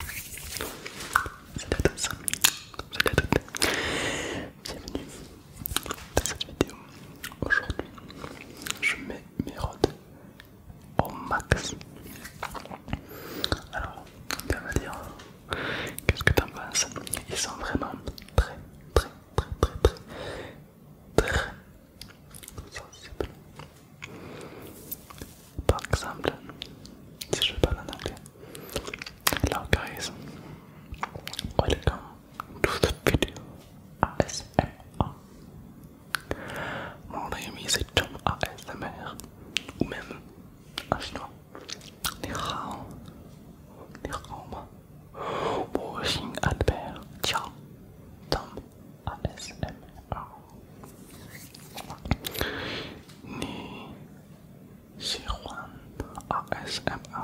bienvenue dans cette vidéo. Aujourd'hui, je mets mes rods au max. Alors, on va dire, qu'est-ce que t'en penses Ils sont vraiment très, très, très, très, très, très sensibles. Par exemple, si je parle en anglais, hello guys, welcome to the video ASMR. Mon ami, c'est Tom ASMR, ou même en chinois. Ni hao, ni hao ma, albert, ciao, Tom ASMR ni m a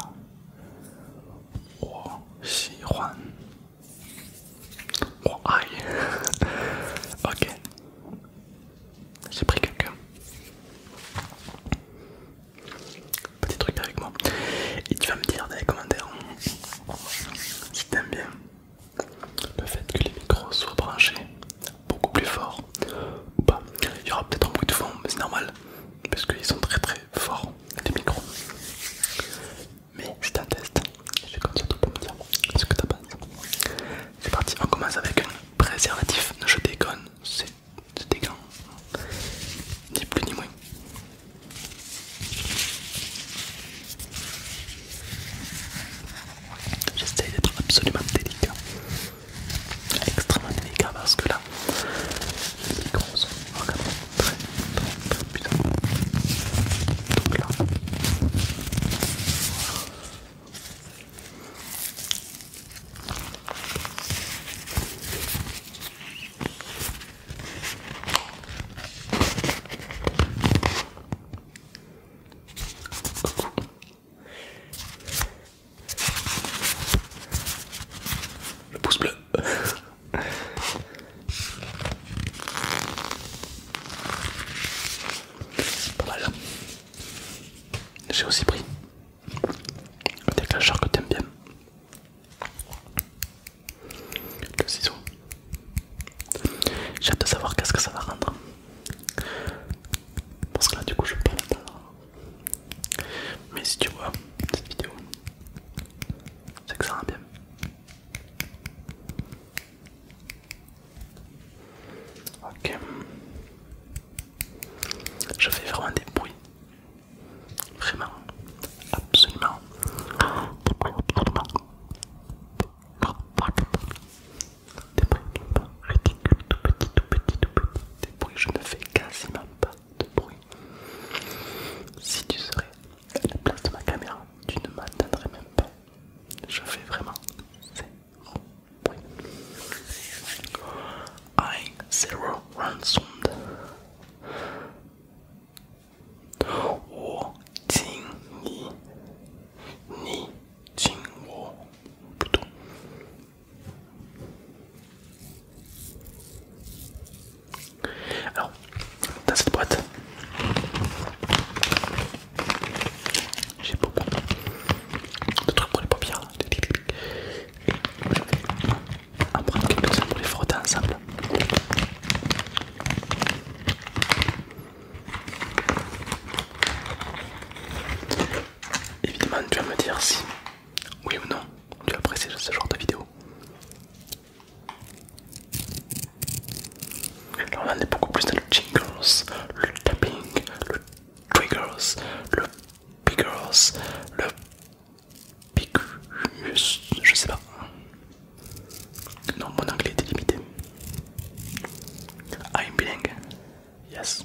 aïe Ok J'ai pris quelqu'un Petit truc avec moi Et tu vas me dire dans les commentaires Si t'aimes bien le fait que les micros soient branchés beaucoup plus fort ou pas. Il y aura peut-être un bruit de fond, mais c'est normal parce qu'ils sont très très forts les micros. Mais je un test, j'ai comme surtout pour me dire ce que t'as dit. C'est parti, on commence avec un préservatif. Je déconne, c'est des ni plus ni moins. J'essaye d'être absolument délicat, extrêmement délicat parce que là, les micros très, le pouce bleu. Pas mal. Hein. J'ai aussi pris le déclencheur que t'aimes bien. Le ciseau. J'ai hâte de savoir qu'est-ce que ça va rendre. Parce que là, du coup, je parle pas Mais si tu vois cette vidéo, c'est que ça rend bien. Ok. Je fais vraiment des bruits. Vraiment. Absolument des bruits ridicules, tout petit, tout petits, tout petits, des bruits, je ne fais quasiment pas de bruit. Si tu serais à la place de ma caméra, tu ne m'attendrais même pas. Je fais vraiment zéro bruit. I zero ransomed. Oh ting ni Jingwo plutôt. Alors, dans cette boîte, j'ai beaucoup de trucs pour les paupières. je vais en prendre quelques-uns pour les frotter ensemble. Évidemment, tu vas me dire si, oui ou non, tu apprécies ce genre de vidéo. on est beaucoup plus dans le jingles, le tapping, le triggers, le pickers, le picus, je sais pas. Non, mon anglais est limité. Ah, I'm bilingue. Yes.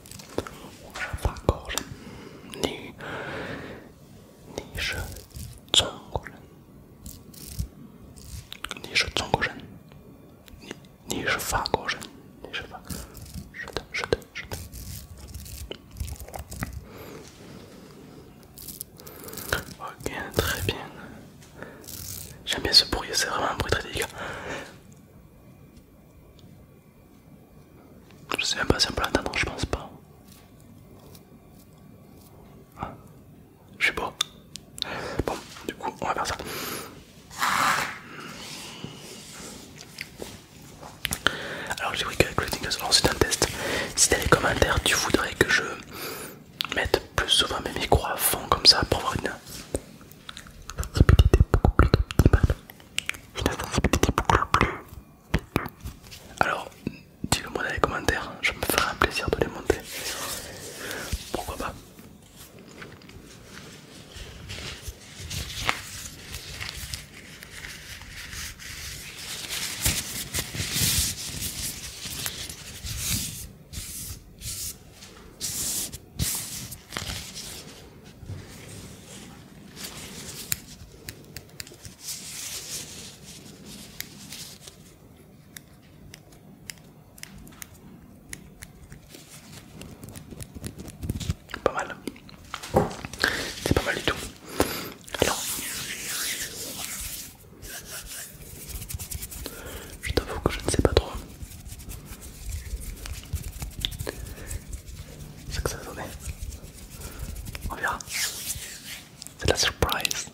Je ne fais pas encore, ni je... Ni je... Je t'encouris. Ni je t'encouris, ni je fais ni je fais... Je te... Ok, très bien. J'aime bien ce bruit, c'est vraiment un bruit très délicat. Je sais même pas si on peut l'entendre, je pense pas. Ah, je sais pas Bon, du coup, on va faire ça. Alors, j'ai vu que le Tingle c'est un test. Si t'as les commentaires, tu voudrais que je mette plus souvent mes micros à fond comme ça pour avoir une répétité beaucoup plus une sensibilité beaucoup plus Alors, dis-le moi dans les commentaires, je me ferai un plaisir de les monter. Pourquoi pas pas mal, c'est pas mal du tout. Alors, je t'avoue que je ne sais pas trop successfully. Oh yeah, c'est surprise.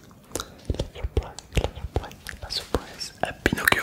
La surprise, surprise, Pinocchio.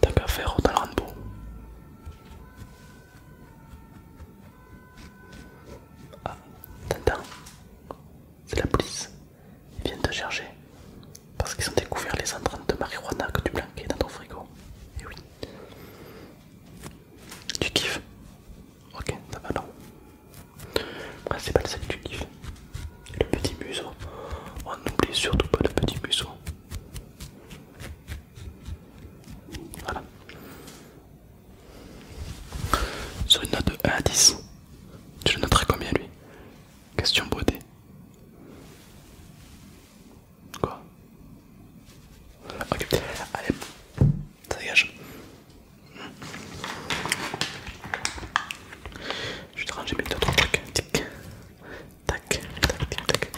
T'as qu'à faire autant le Rambo. Ah, t'entends C'est la police. Ils viennent te chercher. Parce qu'ils ont découvert les intrants de marijuana que tu blanquais dans ton frigo. Et eh oui. Tu kiffes Ok, ça va pas Le principal que tu kiffes le petit museau. On oh, n'oublie surtout pas le petit museau. Voilà. Sur une note de 1 à 10, tu le noterais combien lui Question beauté. Quoi Ok, allez, ça dégage. Je vais te ranger mes 2 3 trucs. Tic. Tac, tac, tac, tac.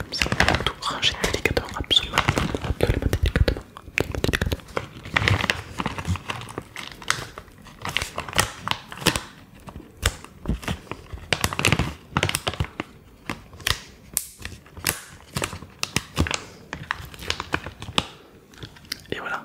Comme ça, tout ranger délicatement, absolument, absolument délicatement, absolument délicatement. Et voilà.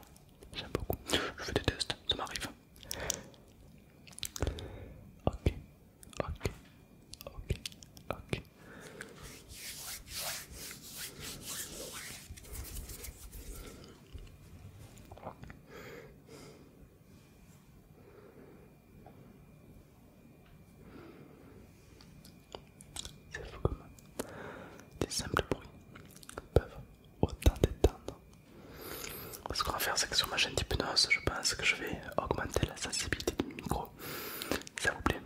J'aime beaucoup. Je fais des tests, ça m'arrive. Ok, ok, ok, ok. C'est fou comme des simples bruits peuvent autant détendre. Ce qu'on va faire, c'est que sur ma chaîne d'hypnose, je pense que je vais augmenter la sensibilité du micro. Ça vous plaît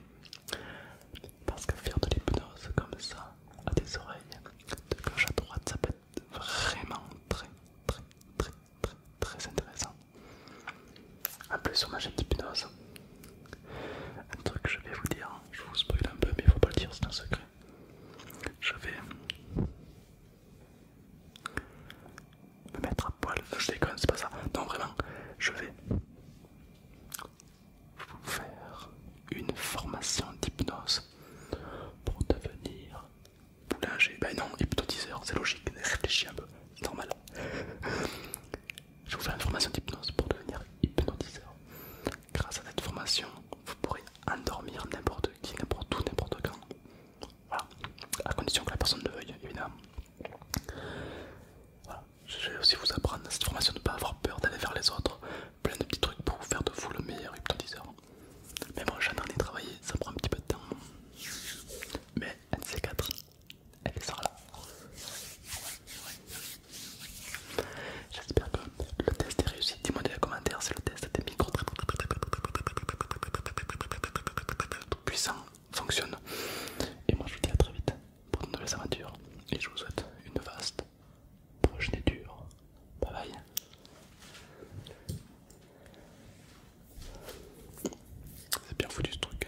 Parce que faire de l'hypnose comme ça à des oreilles, de gauche à droite, ça peut être vraiment très, très, très, très, très intéressant. En plus, sur ma chaîne d'hypnose, un truc que je vais vous dire je vous spoil un peu, mais il faut pas le dire, c'est un secret. Je vais me mettre à poil, je déconne, c'est pas ça. Non, vraiment, je vais vous faire une formation d'hypnose pour devenir boulanger. Ben non, hypnotiseur, c'est logique, réfléchis un peu, c'est normal. je vais vous faire une formation d'hypnose pour devenir hypnotiseur. Grâce à cette formation, vous pourrez endormir n'importe qui, n'importe où, n'importe quand. Voilà, à condition que la personne le veuille, évidemment. Voilà. Je vais aussi vous apprendre cette formation de ne pas avoir peur d'aller vers les autres. Plein de petits trucs pour vous faire de vous le meilleur hypnotiseur. Mais bon, j'en les travailler, ça prend un petit peu de temps. Mais nc 4 elle sera là. J'espère que le test est réussi. Dis-moi dans les commentaires, si le test des micros tout puissant fonctionne. Et moi je vous dis à très vite pour de nouvelles aventures. Et je vous souhaite une vaste prochaine dure. Bye bye. C'est bien foutu ce truc.